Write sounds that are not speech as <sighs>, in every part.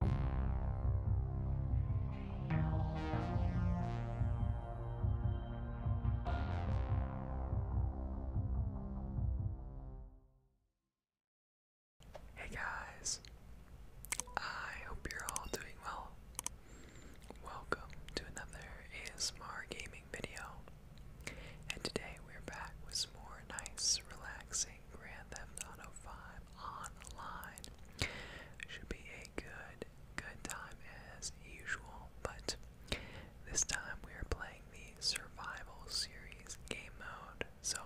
Hey guys, I hope you're all doing well. Welcome to another ASMR gaming video, and today we're back with more nice, relaxing Grand Theft Auto 5 online. Should be a good, good time as usual, but this time we are playing the Survival Series game mode. So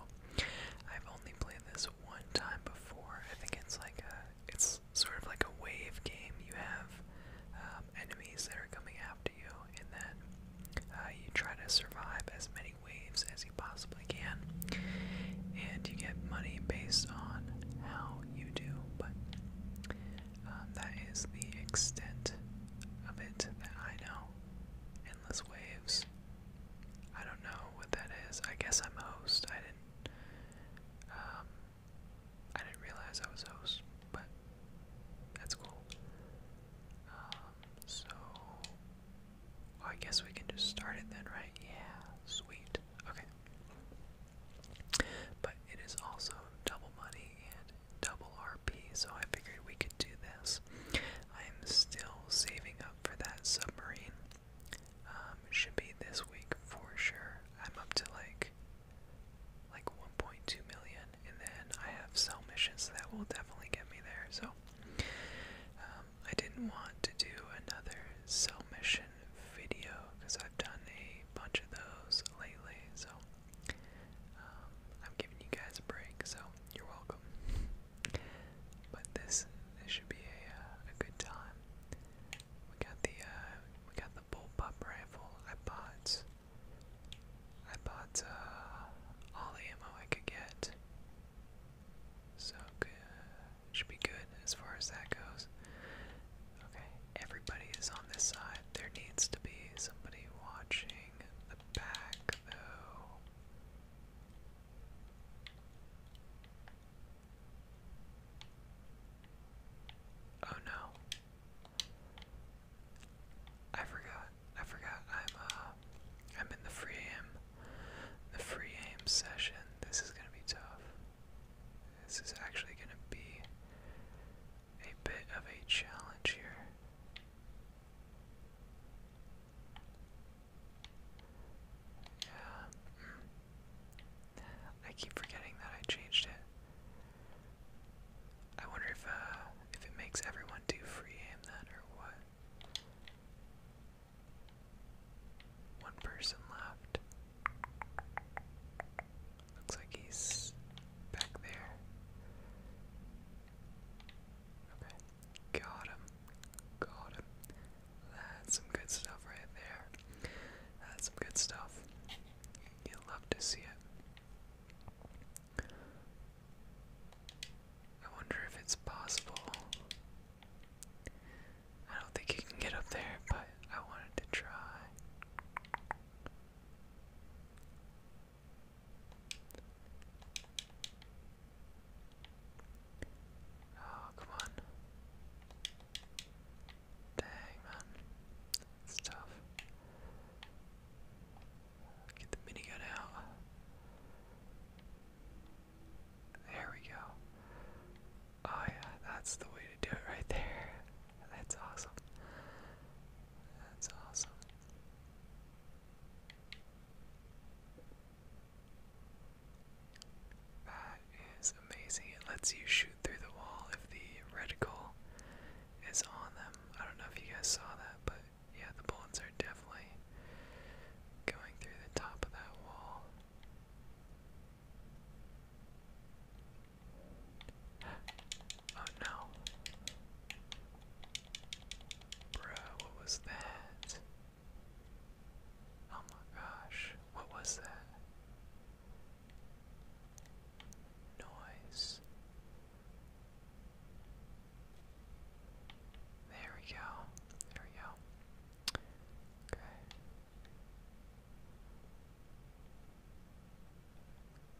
I've only played this one time before. I think it's like a, it's sort of like a wave game. You have um, enemies that are coming after you, and then uh, you try to survive as many waves as you possibly can. And you get money based on how you do, but um, that is the extent of it that I know. Endless waves. I don't know what that is. I guess I'm a host. I didn't. Um, I didn't realize I was a host, but that's cool. Um, so I guess we can just start it then, right? Yeah, sweet. Okay. But it is also double money and double RP, so I figured we could do this. I'm still saving up for that submarine. Um, should be this week for sure. I'm up to like like 1.2 million, and then I have cell missions that will definitely get me there. So, I didn't want to do another cell mission video because I've done a bunch of those lately, so um, I'm giving you guys a break, so you're welcome. But this this should be a, uh, a good time. We got the uh, we got the bullpup rifle. I bought I bought uh, all the ammo I could get. So good. Should be good as far as that goes. Okay, everybody is on this side. There needs to be somebody watching the back, though. Oh no. I forgot. I forgot. I'm uh I'm in the free am the free aim session, this is going to be tough. This is actually going to be a bit of a challenge here. Yeah. Mm. I keep forgetting that I changed it. I wonder if uh, if it makes everyone do free aim then or what. One person left. Looks like he's back there. Okay. Got him. Got him. That's some good stuff right there. That's some good stuff. You love to see it. I wonder if it's possible. I don't think you can get up there, but I wanted to try. Oh, come on. Dang, man. It's tough. Get the minigun out. There we go. Oh yeah, that's the way to do it right there. <laughs> That's awesome. That's awesome. That is amazing. It lets you shoot through the wall if the reticle is on them. I don't know if you guys saw that, but yeah, the bullets are definitely going through the top of that wall. Oh no. Bro, what was that? Oh my gosh, what was that? Noise. There we go. There we go. Okay.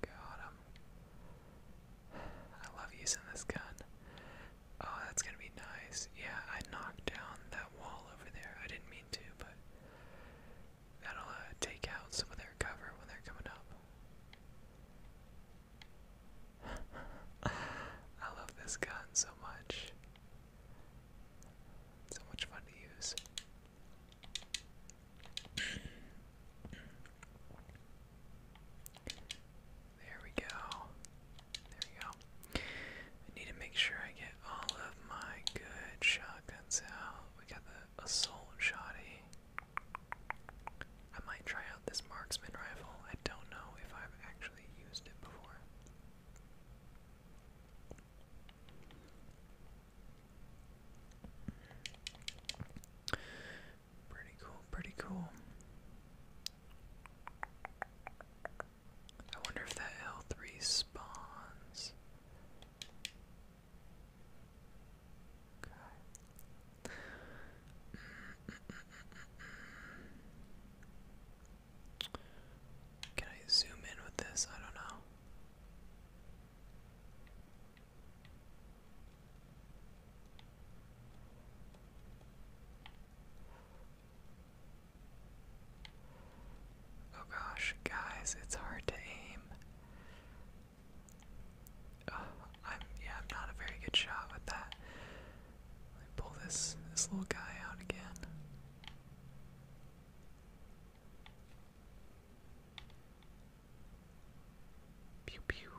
Got him. I love using this gun. Oh, that's gonna be nice. Yeah, I knocked down that wall over there. I didn't mean to, but that'll uh, take out some of their cover when they're coming up. <laughs> I love this gun so much. so much fun to use. There we go. There we go. need to make sure I get all of my good shotguns out. We got the assault shotty. I might try out this marksman rifle. I don't know if I've actually used it before. Pretty cool, pretty cool. I wonder if that health respawns. Can I zoom in with this? I don't know. Oh gosh, guys, it's hard to aim. I'm yeah, I'm not a very good shot with that. Let me pull this this little guy out again. Pew pew.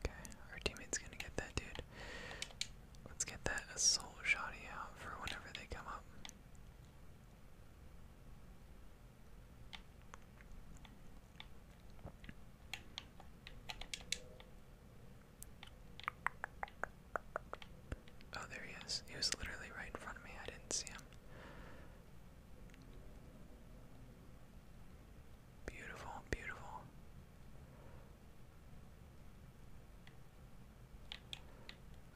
Okay, our teammate's gonna get that dude. Let's get that assault shotty out for whenever they come up. Oh, there he is. He was literally right in front of me. I didn't see him. Beautiful, beautiful.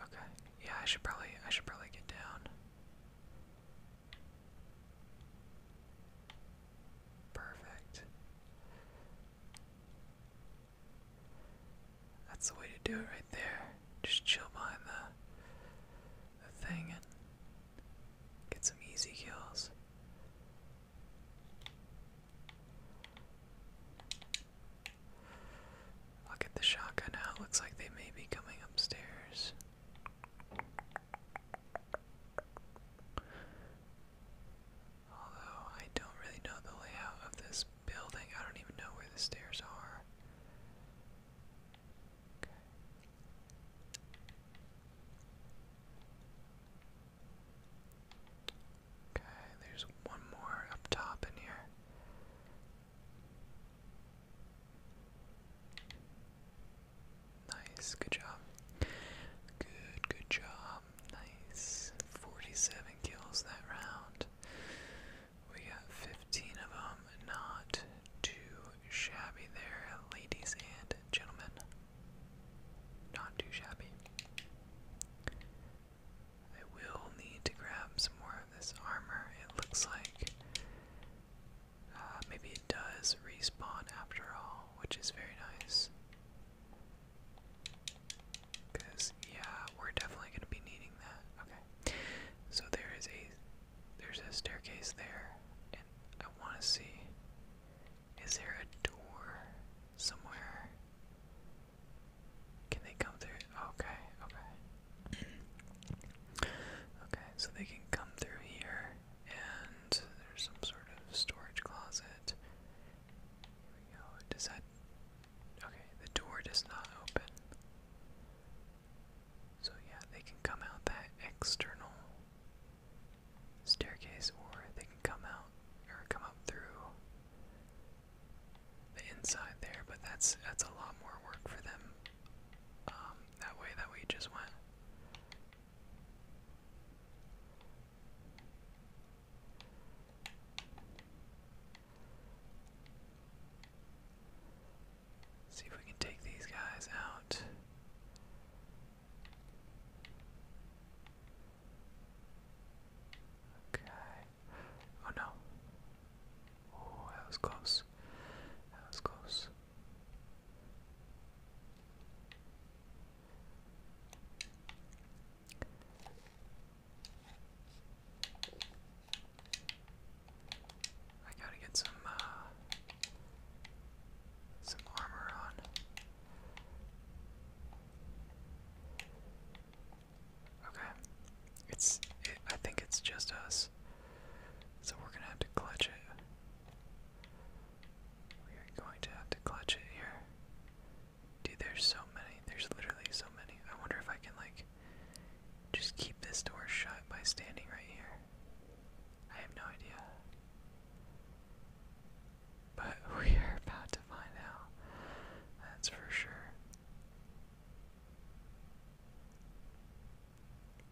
Okay. Yeah, I should probably I should probably get down. Perfect. That's the way to do it right there. Just chill behind the, the thing and get some easy kills. I'll get the shotgun out. Looks like they may be coming upstairs. Although I don't really know the layout of this building, I don't even know where the stairs are. Okay. there's one more up top in here. Nice, good job. Good, good job. Nice. 47 kills that round. We got 15 of them. Not too shabby there, ladies and gentlemen. Not too shabby. I will need to grab some more of this armor. It looks like uh, maybe it does respawn after all, which is very nice. Because yeah, we're definitely going to be needing that. Okay, so there is a there's a staircase there, and I want to see is there a door somewhere? Can they come through? Okay, okay. okay, so they can come through here, and there's some sort of storage closet. Here we go. Does that. Okay, the door does not open. So, yeah, they can come out that external staircase, or they can come out or come up through the inside there, but that's that's a lot more work for them. Um, that way that we just went. See if we can take these guys out. Okay. Oh no. Oh, that was close. That was close. I gotta get some, uh, some armor on. Okay. It's. I think it's just us. So we're gonna have to clutch it. We're going to have to clutch it here. Dude, there's so many. There's literally so many. I wonder if I can, like, just keep this door shut by standing right here. I have no idea. But <laughs> we are about to find out. That's for sure. Okay.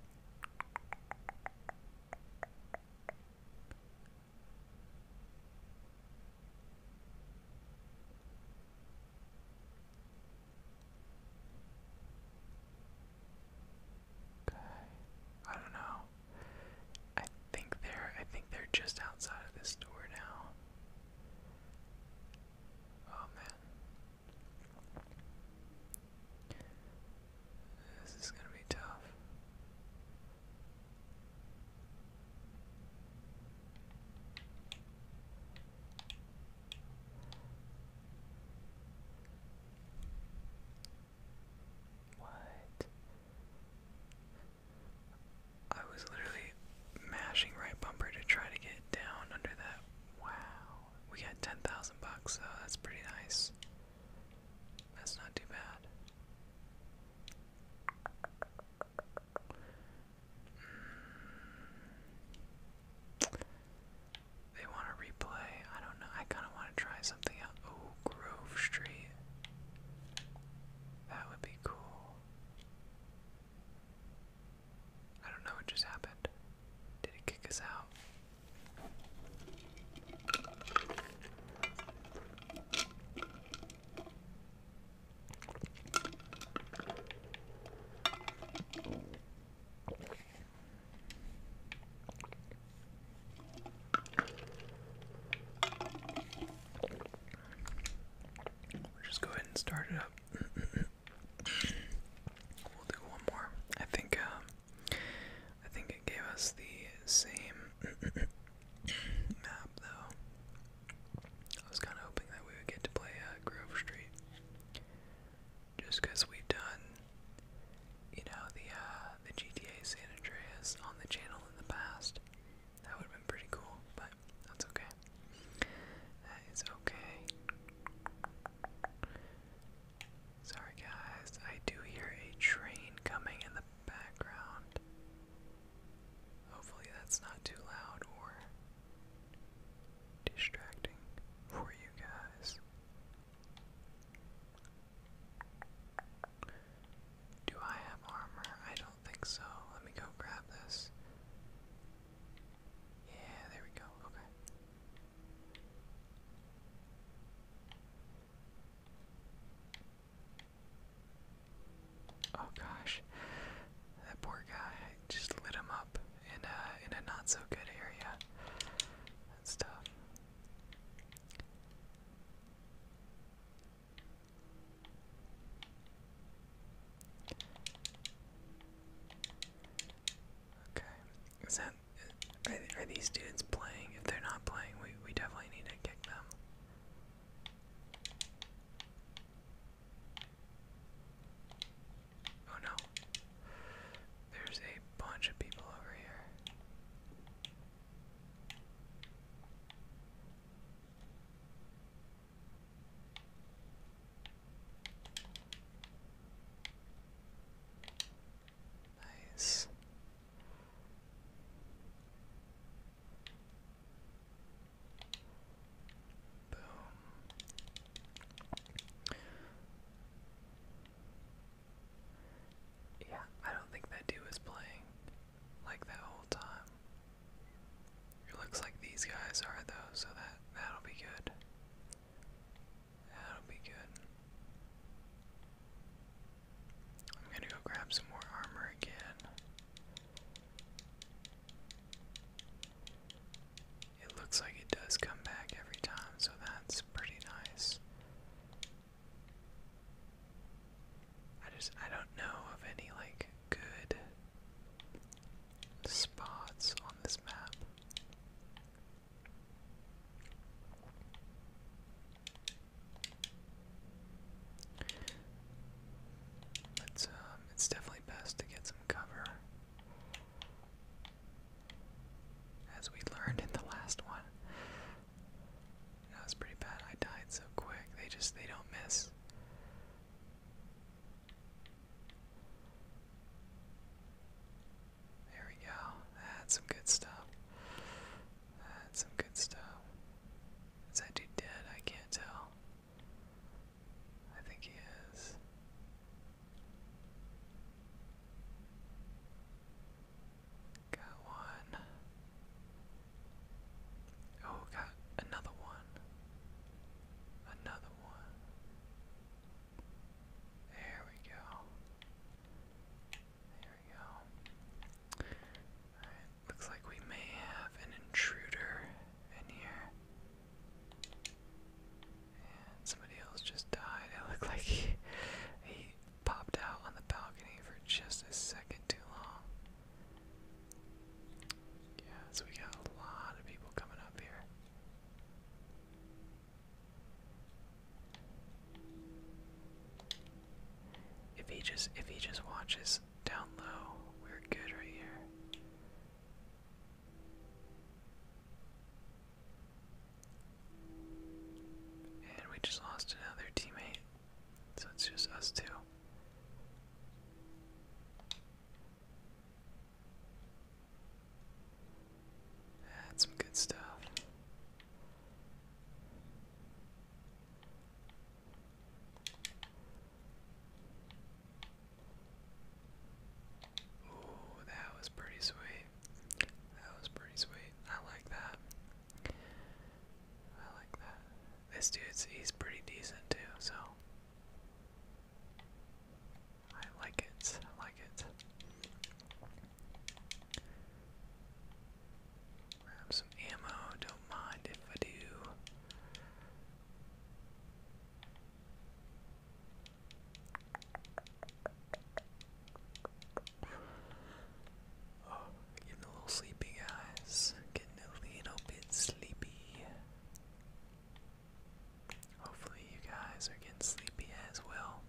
I don't know. I think they're I think they're just outside of this door now. Oh man. This is gonna be tough. What? I was literally mashing right bumper to try to get down under that. Wow. We got 10,000 bucks, so that's pretty nice. That's not too bad. Mm. They want to replay. I don't know. I kind of want to try something out. Oh, Grove Street. That would be cool. I don't know what just happened. Did it kick us out? just go ahead and start it up we'll do one more. I think um, I think it gave us the same map though. I was kind of hoping that we would get to play uh, Grove Street, just because we've done, you know, the uh, the GTA San Andreas on the channel in the past. That would have been pretty cool, but that's okay. That is okay. Sorry, guys. I do hear a train coming in the background. Hopefully, that's not too loud or distracting for you guys. Do I have armor? I don't think so. Let me go grab this. Yeah, there we go. Okay. Oh gosh, that poor guy just lit him up in a in a not so good area. That's tough. Okay, is are, are these students playing? If they're not playing, we we definitely need to kick them. Oh no. There's a bunch of people over here. Nice. Boom. Yeah, I don't think that dude was playing like that whole time. It looks like these guys are though, so that that'll be good. That'll be good. I'm gonna go grab some more armor again. It looks like it does come back every time, so that's pretty nice. I just I don't know of any like good spots on this map. It's um it's definitely best to get some cover. As we learned in the last one. That was pretty bad. I died so quick. They just they don't miss. There we go. That's some good stuff. That's some good stuff. Is that dude dead? I can't tell. I think he is. Got one. Oh, got another one. Another one. There we go. There we go. looks like we may have an intruder in here. And somebody else just died. <laughs> It looked like he popped out on the balcony for just a second too long. Yeah, so we got a lot of people coming up here. If he just if he just watches down low, we're good right here. And we just lost another teammate. So it's just us two. That's some good stuff. Ooh, that was pretty sweet. That was pretty sweet. I like that. I like that. This dude's he's pretty decent too, so I like it. I like it. Grab some ammo, don't mind if I do. Oh. Getting a little sleepy, guys. Getting a little bit sleepy. Hopefully, you guys are getting sleepy as well.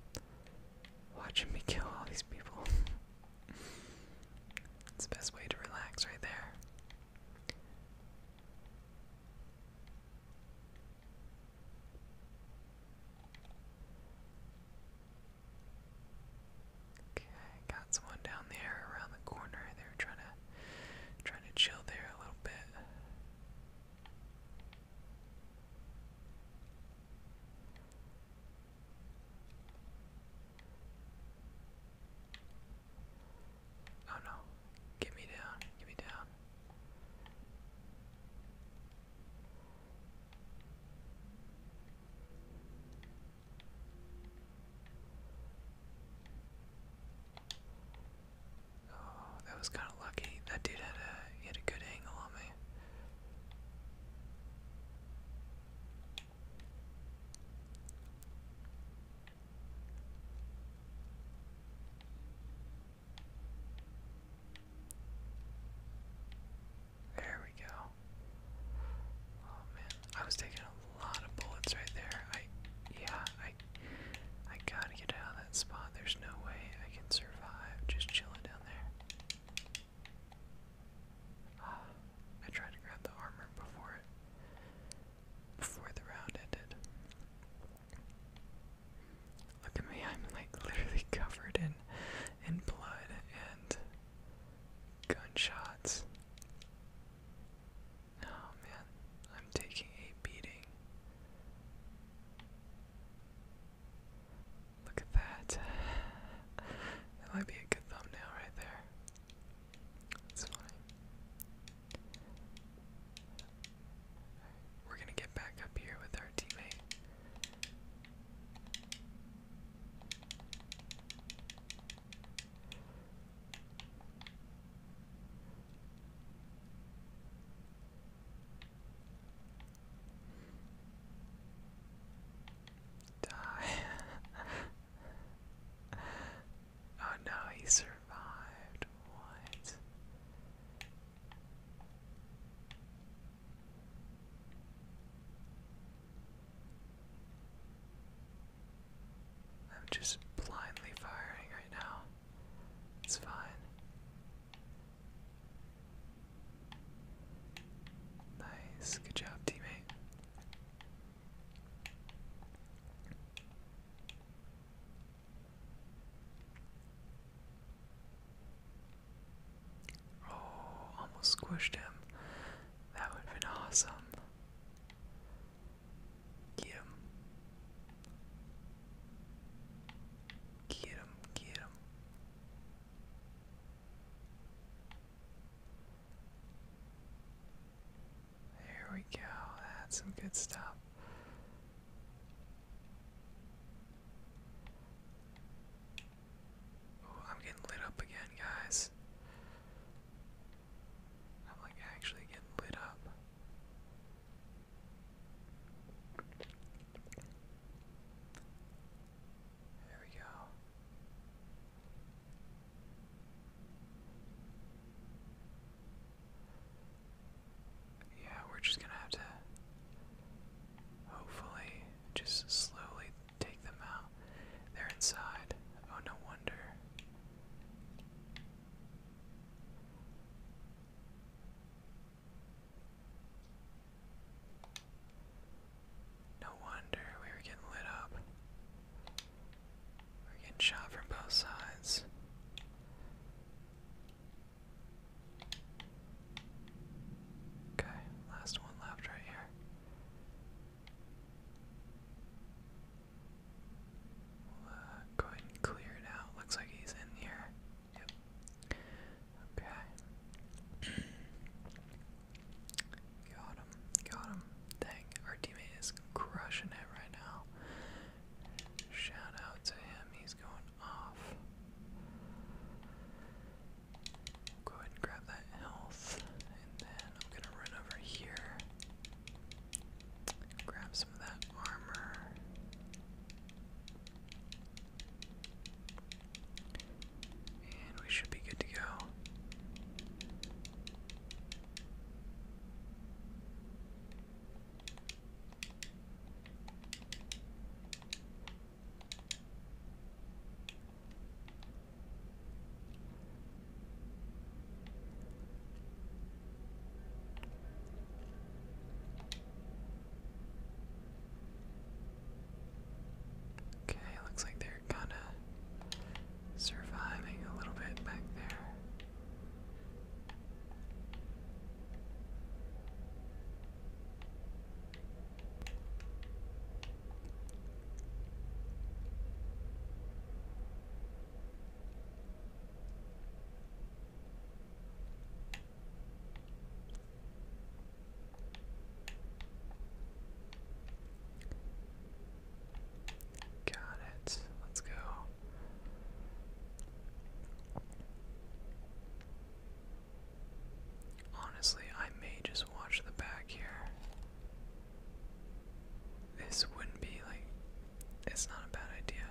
Watching me kill all these people. <laughs> it's the best way to relax right there. Okay, got someone down there around the corner. They're trying to trying to chill there a little bit. Oh no. Get me down. Get me down. Oh, that was kind of lucky. That dude had a had a good angle on me. There we go. Oh man, I was taking a lot of bullets right there. I, yeah, I, I gotta get out of that spot. There's no way I can survive just chilling down there. <sighs> I tried to grab the armor before it, before the round ended. Look at me, I'm like literally <laughs> covered in in blood and gunshots. Oh man, I'm taking a beating. Look at that. <laughs> That might be a good thumbnail right there. That's funny. We're gonna get back up here with our teammate. Die. <laughs> oh no, he survived. What? I'm just blindly firing right now. It's fine. Nice. Good job, teammate. Oh, almost squished him. That would have been awesome. Get him. Get him, get him. There we go. That's some good stuff. Ooh, I'm getting lit up again, guys. I'm like actually getting lit up. There we go. Yeah, we're just gonna have to hopefully just slowly Take them out. They're inside. Oh, no wonder. No wonder we were getting lit up. We are getting shot from both sides. Okay, last one left right here go ahead and clear it out. Looks like he's in here. Yep. Okay. <clears throat> got him. Got him. Dang, our teammate is crushing it right now. Shout out to him. He's going off. Go ahead and grab that health, and then I'm gonna run over here. Grab some of that armor. And we should be good to go. Okay, looks like they're kind of surviving a little bit back there. Got it. Let's go. Honestly, I may just watch the back here. This wouldn't be like. It's not a bad idea.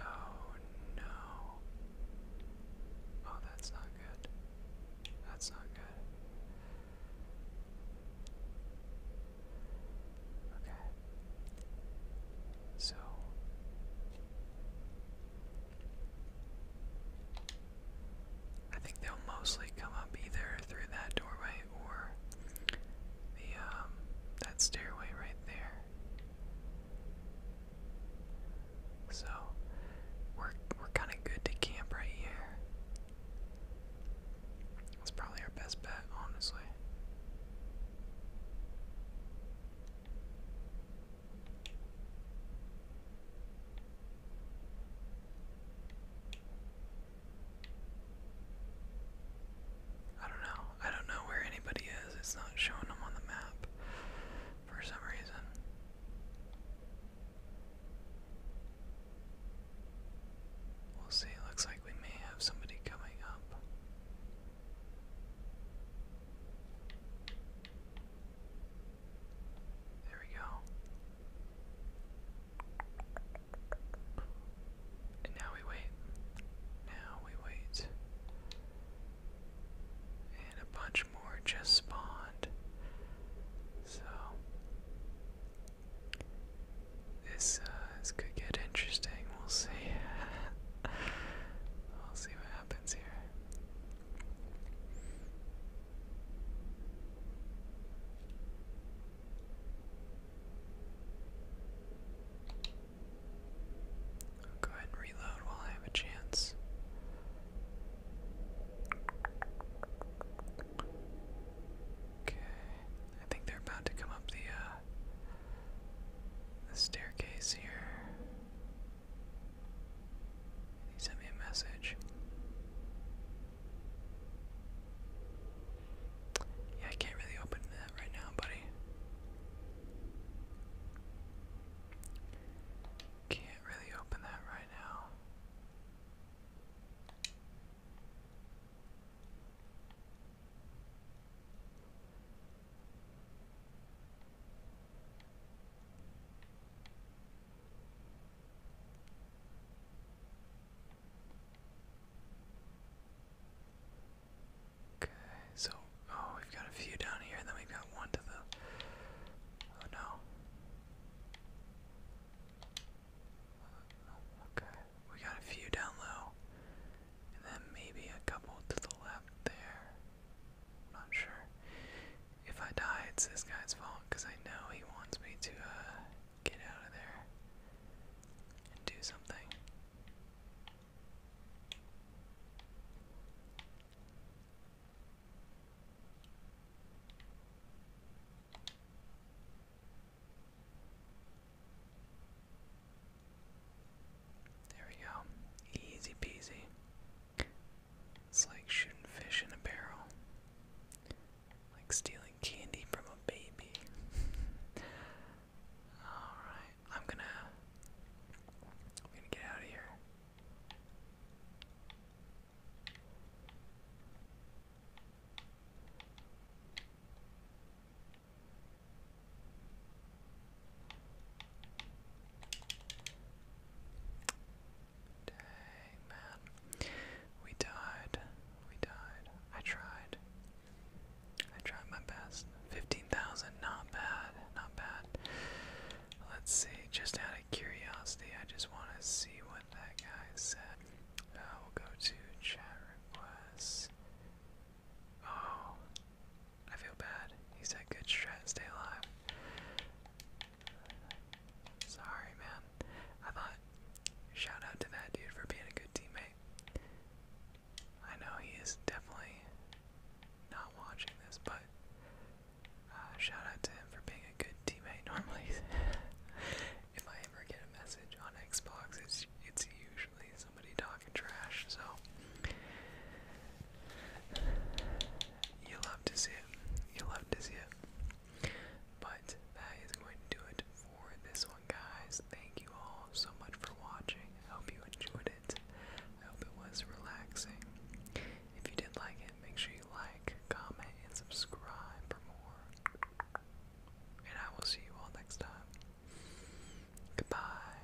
Oh no. Oh, that's not good. That's not good. Okay. So. I think they'll mostly come up either through that doorway or the um, that stairway right there. So we're we're kind of good to camp right here. That's probably our best bet, honestly. I don't know. I don't know where anybody is. It's not showing them on the map for some reason. We'll see. Looks like we may have somebody coming up. There we go. And now we wait. Now we wait. And a bunch more just spawned. So this uh, this could get interesting. We'll see. <laughs> we'll see what happens here. I'll go ahead and reload while I have a chance. Okay, I think they're about to come up the uh the staircase here. He sent me a message. Yeah, I can't really open that right now, buddy. Can't really open that right now. Okay, so oh, we've got a few down here, and then we've got one to the. Oh no. Okay, we got a few down low, and then maybe a couple to the left there not sure. If I die, it's this guy's fault because I know he wants me to uh, get out of there and do something. There we go. Easy peasy. It's like shooting fish in a barrel. Like stealing candy from a baby. <laughs> Alright, I'm gonna I'm gonna get out of here. Dang, man. We died. We died. I tried. I tried my best. 15,000, not bad. Not bad. Let's see. Just out of curiosity, I just want to see what that guy said. I uh, will go to chat requests. Oh, I feel bad. He's had good strat. Stay alive. Sorry, man. I thought. Shout out to that dude for being a good teammate. I know he is definitely not watching this, but uh, shout out to him for being a good teammate. <laughs> Normally, if I ever get a message on Xbox, it's it's usually somebody talking trash. So you love to see it. You love to see it. But that is going to do it for this one, guys. Thank you all so much for watching. I hope you enjoyed it. I hope it was relaxing. If you did like it, make sure you like, comment, and subscribe for more. And I will see you all next time. Goodbye.